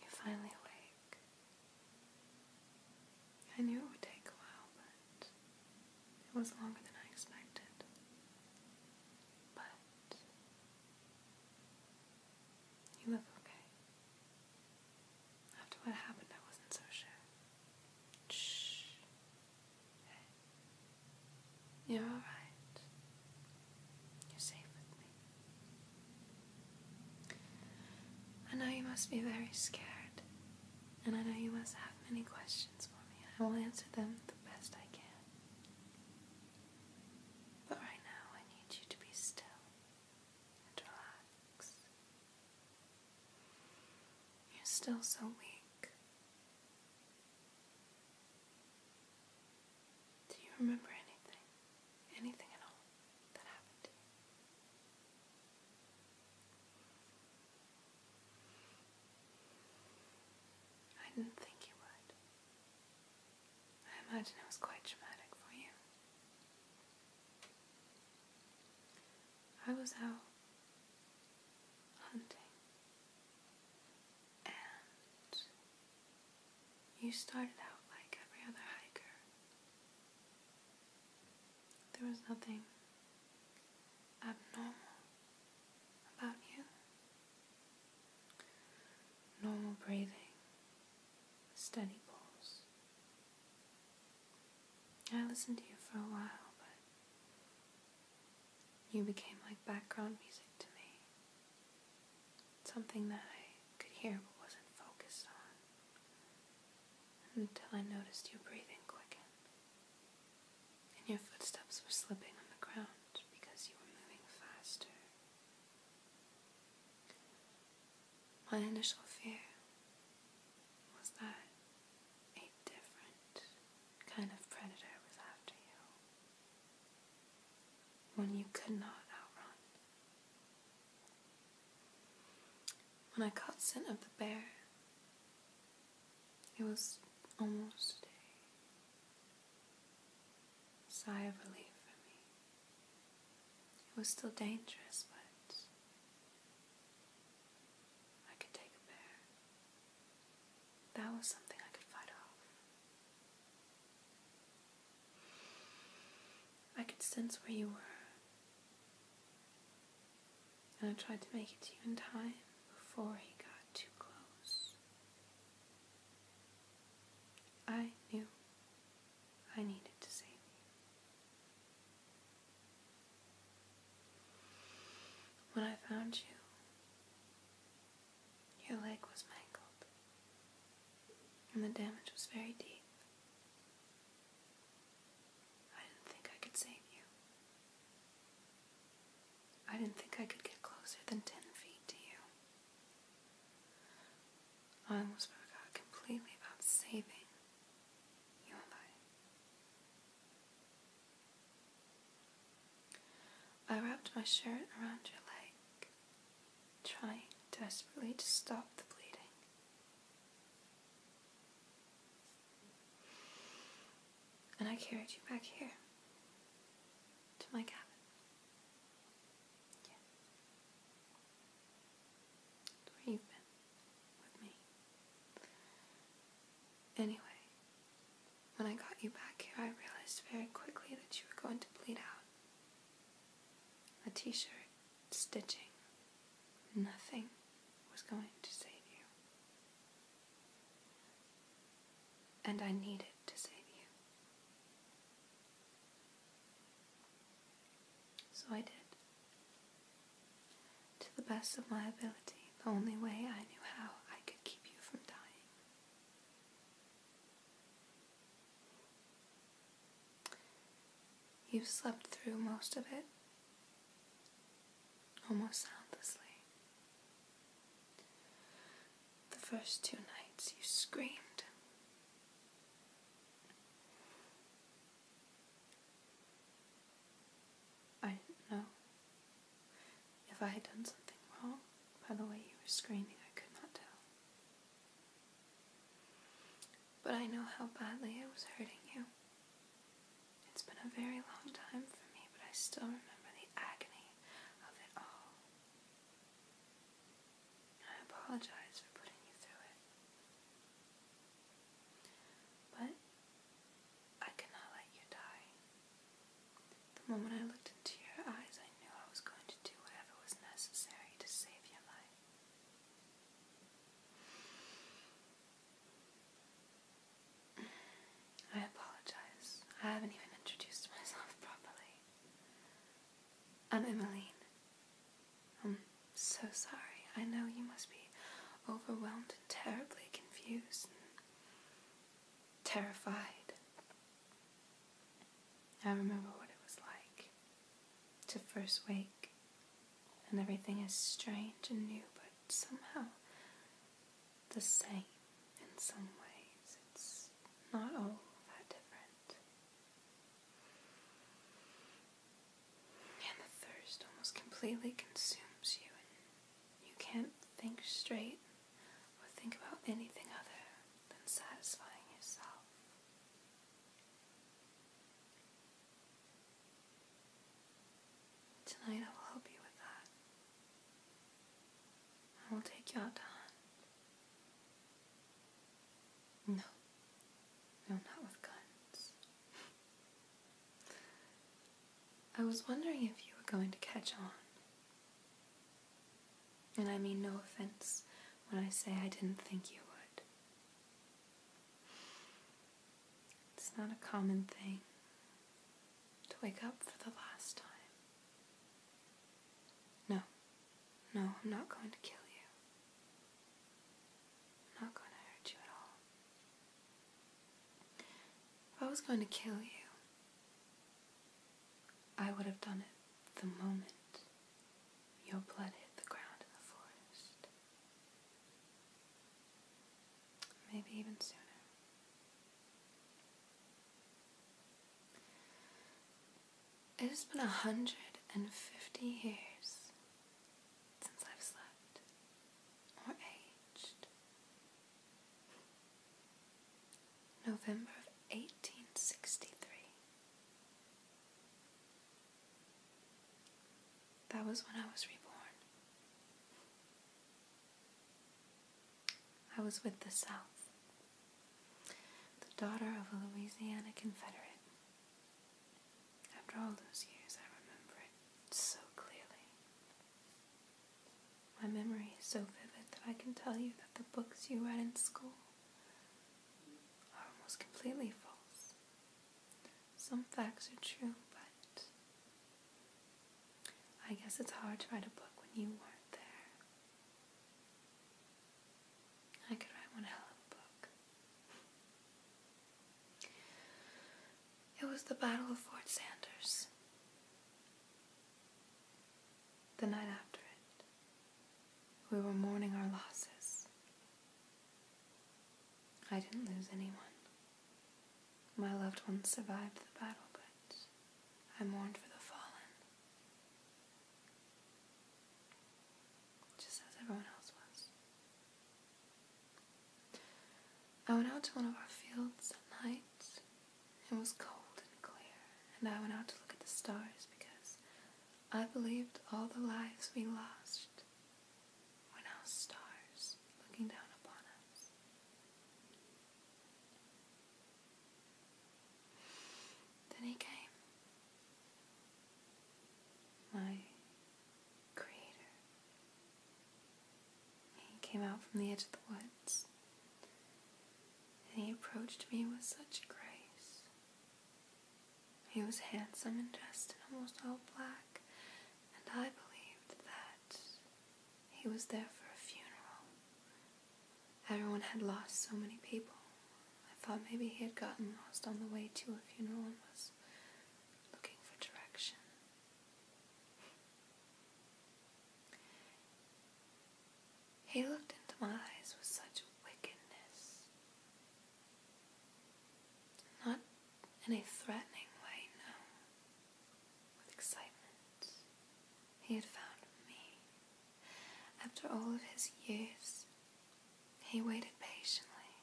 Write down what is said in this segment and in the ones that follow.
You're finally awake. I knew it would take a while, but it was longer than I expected. But you look okay. After what happened, I wasn't so sure. Shh. You're alright. You're safe with me. I know you must be very scared, and I know you must have many questions for me. I will answer them the best I can. But right now, I need you to be still relax. You're still so weak. Do you remember anything? Anything at all that happened I didn't think you would. I imagine it was quite traumatic for you. I was out hunting and you started out like every other hiker. There was nothing abnormal about you. Normal breathing, steady pulse. I listened to you for a while, but you became like background music to me something that I could hear but wasn't focused on until I noticed you breathing quicken and your footsteps were slipping on the ground because you were moving faster. My initial fear was that a different kind of predator was after you. When you could not outrun. When I caught scent of the bear, it was almost a sigh of relief for me. It was still dangerous, but I could take a bear. That was something I could fight off. I could sense where you were, and I tried to make it to you in time before he got too close. I knew I needed to save you. When I found you, your leg was mangled, and the damage was very deep. I didn't think I could save you. I didn't think I could get closer than ten feet to you. I almost forgot completely about saving your life. I wrapped my shirt around your leg trying desperately to stop the bleeding. And I carried you back here to my cabin. Where you've been with me. Anyway, when I got you back here, I realized very quickly that you were going to bleed out. A t shirt, stitching, nothing was going to save you. And I needed to save you. So I did. To the best of my ability, the only way I knew how, I could keep you from dying. You've slept through most of it, almost soundlessly. The first two nights you screamed. I know. If I had done something wrong by the way you were screaming, I could not tell. But I know how badly it was hurting you. It's been a very long time for me, but I still remember the agony of it all. I apologize for putting you through it. But I cannot let you die. The moment I looked into your eyes, I knew I was going to do whatever was necessary to save your life. I apologize. I haven't even introduced myself properly. I'm Emmeline. I'm so sorry. I know you must be overwhelmed and terribly confused and terrified. I remember what it was like to first wake, and everything is strange and new, but somehow the same in some ways. It's not all that different. And the thirst almost completely consumes you, and you can't think straight or think about anything other than satisfying yourself. Tonight I will help you with that. I will take you out No. No, not with guns. I was wondering if you were going to catch on. And I mean no offense when I say I didn't think you would. It's not a common thing to wake up for the last time. No, no, I'm not going to kill you. i not going to hurt you at all. If I was going to kill you, I would have done it the moment your blood hit the ground in the forest. Maybe even sooner. It has been a hundred and fifty years since I've slept or aged November of 1863. That was when I was reborn. I was with the South, the daughter of a Louisiana Confederate. After all those years, I remember it so clearly. My memory is so vivid that I can tell you that the books you read in school are almost completely false. Some facts are true, but I guess it's hard to write a book when you weren't there. I could write one hell of a book. It was the Battle of Fort Sanders. The night after it, we were mourning our losses. I didn't lose anyone. My loved ones survived the battle, but I mourned for the fallen, just as everyone else was. I went out to one of our fields at night it was cold and clear, and I went out to look at the stars because I believed all the lives we lost were now stars looking down upon us. Then he came. My creator. He came out from the edge of the woods, and he approached me with such grace. He was handsome and dressed in almost all black, and I believed that he was there for a funeral. Everyone had lost so many people. I thought maybe he had gotten lost on the way to a funeral and was looking for direction. He looked into my eyes with such wickedness. Not in a threatening way, no. With excitement. He had found me. After all of his years, he waited patiently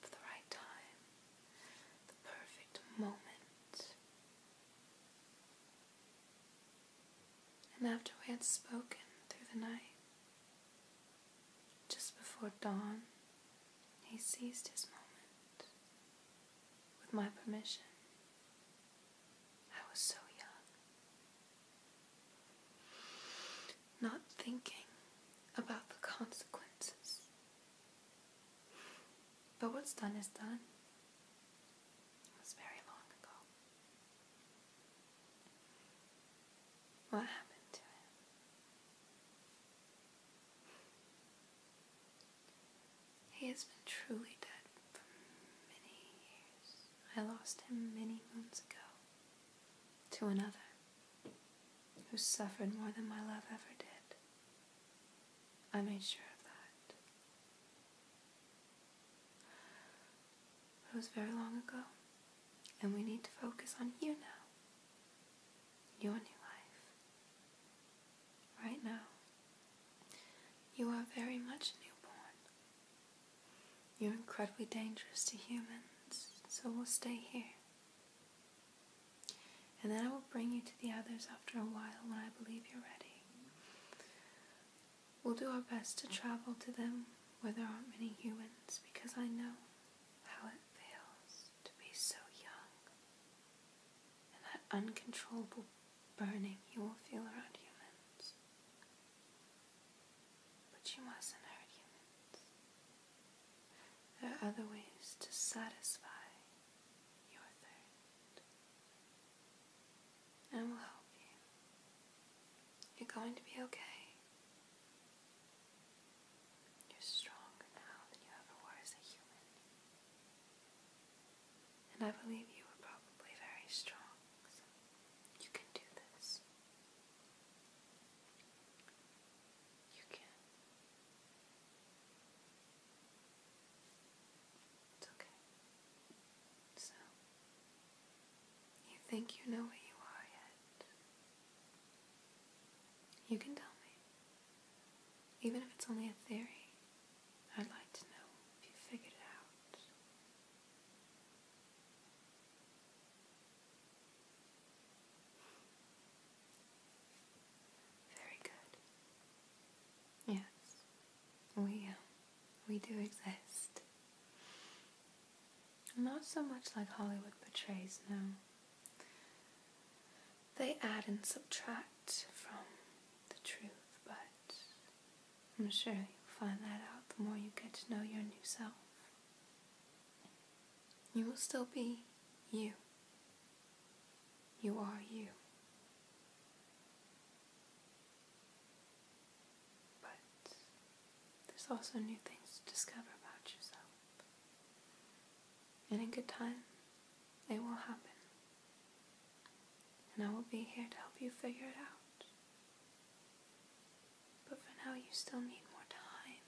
for the right time, the perfect moment and after we had spoken through the night, just before dawn, he seized his moment with my permission. I was so young, not thinking about the consequences. But what's done is done. It was very long ago. What happened to it? He has been truly dead for many years. I lost him many moons ago to another who suffered more than my love ever did. I made sure of that. it was very long ago, and we need to focus on you now. Your new life. Right now, you are very much newborn. You're incredibly dangerous to humans, so we'll stay here. And then I will bring you to the others after a while when I believe you're ready. We'll do our best to travel to them where there aren't many humans because I know how it feels to be so young and that uncontrollable burning you will feel around humans. But you mustn't hurt humans. There are other ways to satisfy your third, and we'll help you. You're going to be okay. You're stronger now than you ever were as a human. And I believe you were probably very strong, so you can do this. You can it's okay. So, you think you know what you are yet? You can tell me. Even if it's only a theory, I'd like to know if you figured it out. Very good. Yes, we uh, we do exist. Not so much like Hollywood portrays now. They add and subtract from the truth, but I'm sure you'll find that out the more you get to know your new self. You will still be you. You are you. But there's also new things to discover about yourself. And in good time, it will happen. And I will be here to help you figure it out. But for now, you still need more time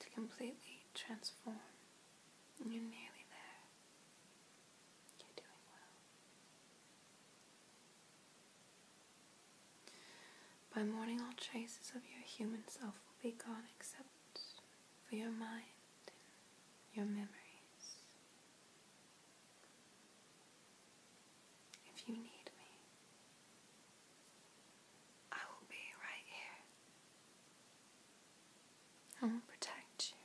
to completely transform you're nearly there. You're doing well. By morning, all traces of your human self will be gone except for your mind and your memories. If you need me, I will be right here. I will protect you.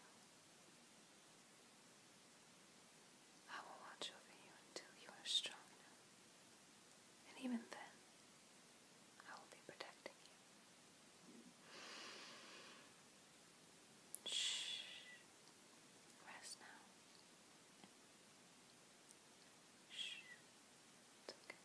I will watch over you until you are strong enough. And even then, I will be protecting you. Shh. Rest now. Shh. It's okay.